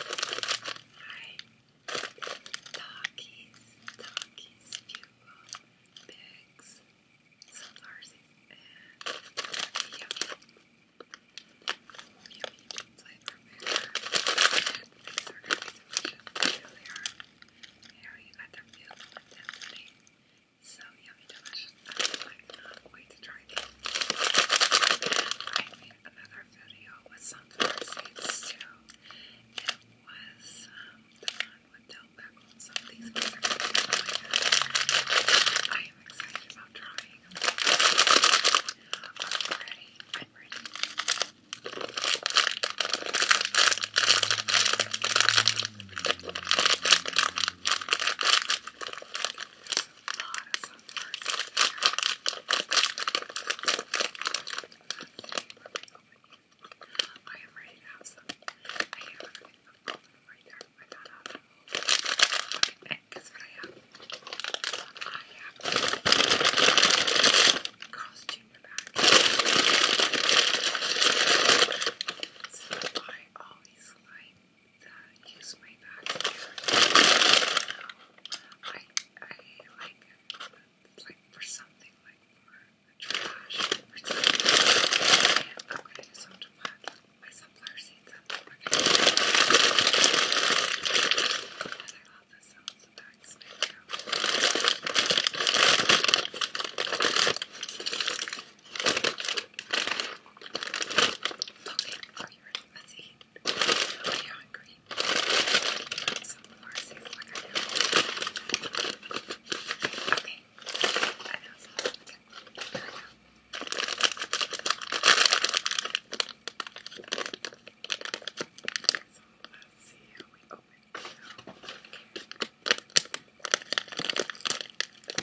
Hi. Talkies, talkies, fuel, pigs, some Larsies, and yummy, yummy flavor mixer. These are going to be delicious. Here they are. you got their fuel intensity. So yummy delicious. I cannot wait to try I made another video with sunflower seeds too. It was um, the one with dill pickles. Some of these guys are really I am excited about trying them. I'm ready. I'm ready lot of I am ready to have some. I have everything up right there. I have? I have Carl's Jr. back. I always like that use my back. I, I like like for something like for trash or I'm gonna use my sunflower seeds up. I love the sounds of you really must eat. Are you hungry? some more? Seems like I know. Okay. know. let's see how we open it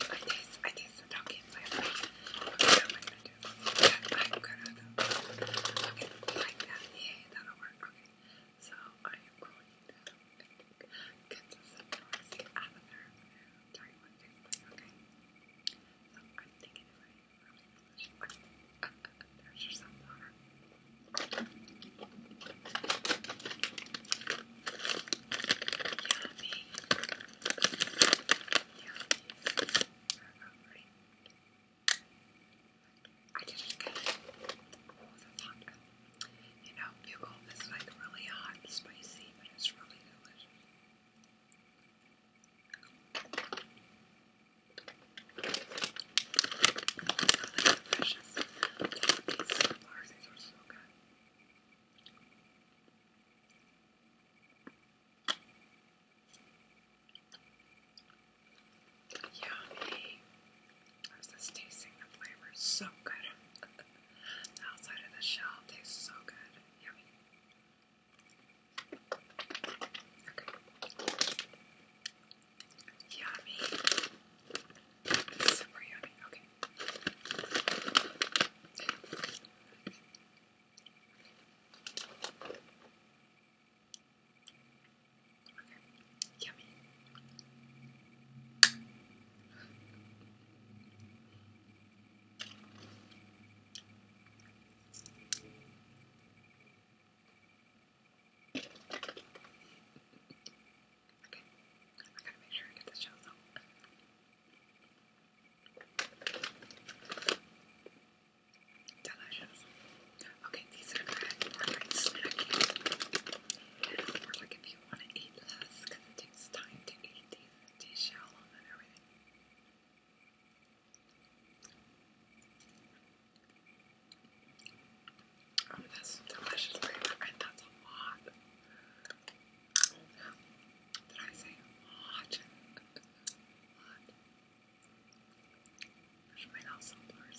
I taste, I taste the donkey flavor. Okay, am gonna do this? I'm gonna though. Okay, like that. Yay, that'll work. Okay, so I am going to get this noisy out of there. Tell you what okay? So I'm thinking if I really delicious. Okay. Uh, uh, Yummy. I didn't it. You know, bugle is like really hot and spicy, but it's really delicious. Really delicious. These bars, are so good. Yummy. How's this tasting? The flavor so good. outside of the shell tastes so good. Yummy. Okay. Yummy. Super yummy. Okay. Okay. Yummy. Okay. I gotta make sure I get the shells out. Delicious. Okay, these are good for like snacking. And for like if you want to eat less, it takes time to eat these, these shell and everything. Um, that's delicious flavor, that's a lot. Did I say hot? Hot. There's my mouth so blurry.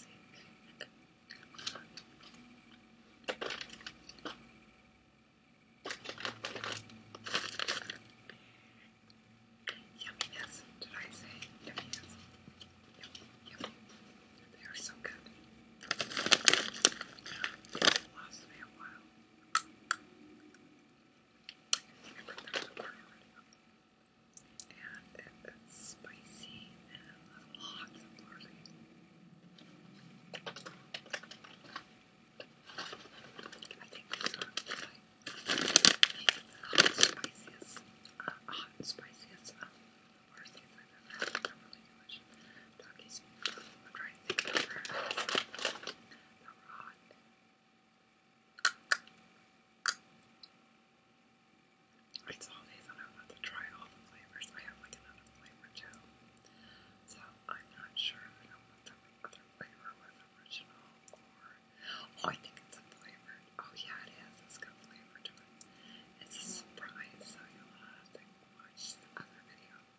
Yumminess, did I say? Yumminess. Yummy, yummy. They are so good. And it's spicy and lots of barley. I think these are the spiciest, uh, hot spiciest um, I've these and I want to try all the flavors. I have like another flavor too. So I'm not sure if I want the other flavor with original oh I think it's a flavored. Oh yeah it is. It's got flavor to it. It's a surprise, so you'll have to watch the other video.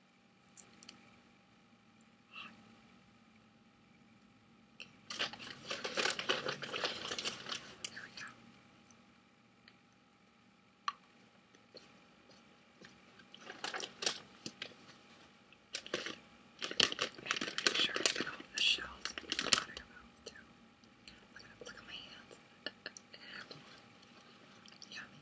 There we go. And make sure I get all the shells out of your mouth too. Look at, look at my hands. Yummy.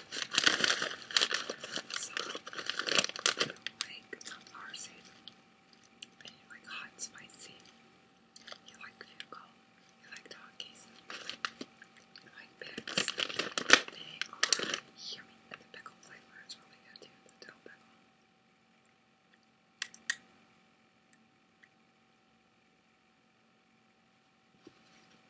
So, like, Lars is like hot, spicy. You like vehicle, you like doggies, you like pigs. They are yummy, and the pickle flavor is really good too, the dill pickle.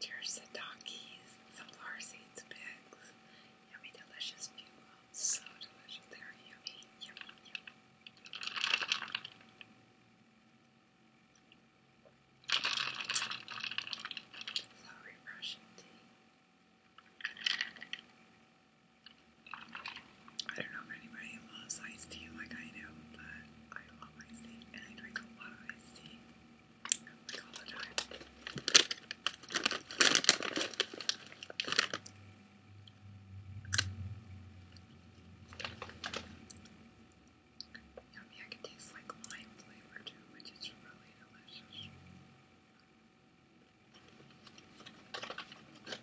There's the donkeys, some flower seeds, pigs, yummy, delicious people. So delicious. They yummy, yummy, yummy. So refreshing tea. I don't know if anybody loves iced tea like I do, but I love my sea and I drink a lot of my sea like all the time. Yummy, I can taste like lime flavor too, which is really delicious. Yummy.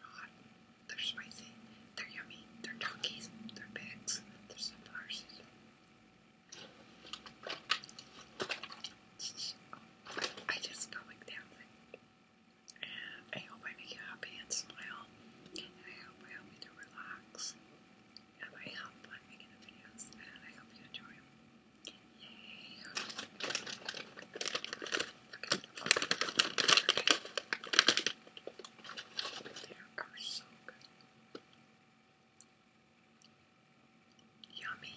Hot. They're spicy. They're yummy. They're donkeys. They're pigs. They're sunflower seeds. I just felt like dancing. I hope I make you happy and smile. I hope I help you relax. And I have fun making the videos. And I hope you enjoy Yummy.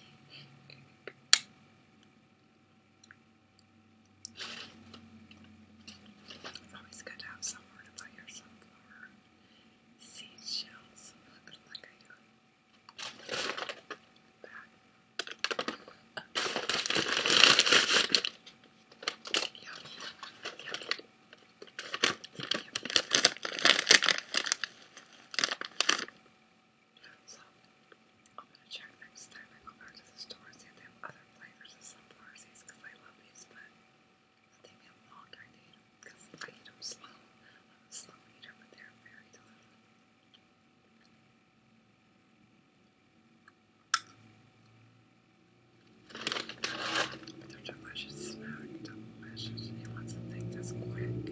It's always good to have somewhere to buy your sunflower shells. Like I do. Yummy. Yummy. Yummy. So, I'm gonna check next time I go back to the store and see if they have other flavors of sunflower seeds because I love these, but it take me a long time because I eat them slow. I'm a slow eater, but they're very delicious. They're delicious, snack, delicious. You want something that's quick?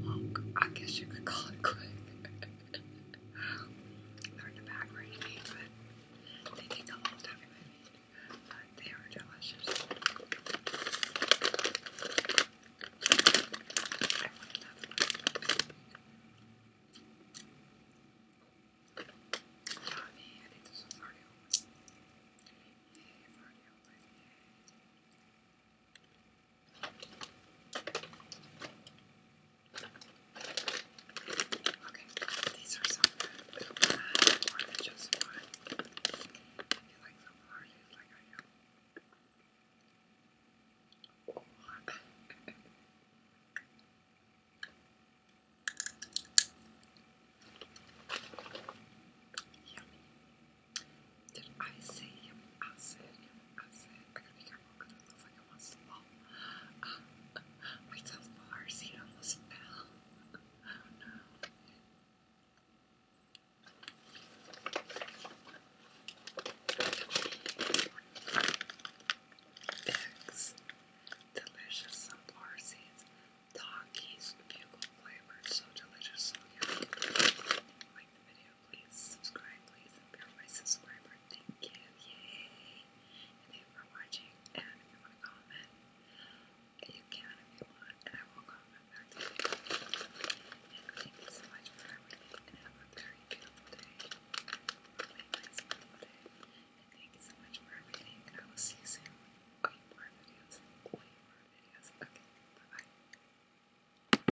Well, I guess you could call it quick. They're the back but they take the whole stuff in my But they are delicious. I want another one. Yummy, I think this Okay, these are some little more than just one. you like them large like I am. Yummy. Did I say yummy? I said yummy. I said I got be it looks like almost fell. Oh no. delicious sunflower seeds, doggies, bugle flavored, so delicious, so yummy. Like the video please subscribe, please, become my subscriber. Thank you, yay! And thank for watching. And if you want comment, you can if you want, and I will comment back And thank you so much for everything, have a very beautiful day, really nice beautiful day. And thank you so much for everything, I will see you soon. Wait videos. Wait videos. bye bye.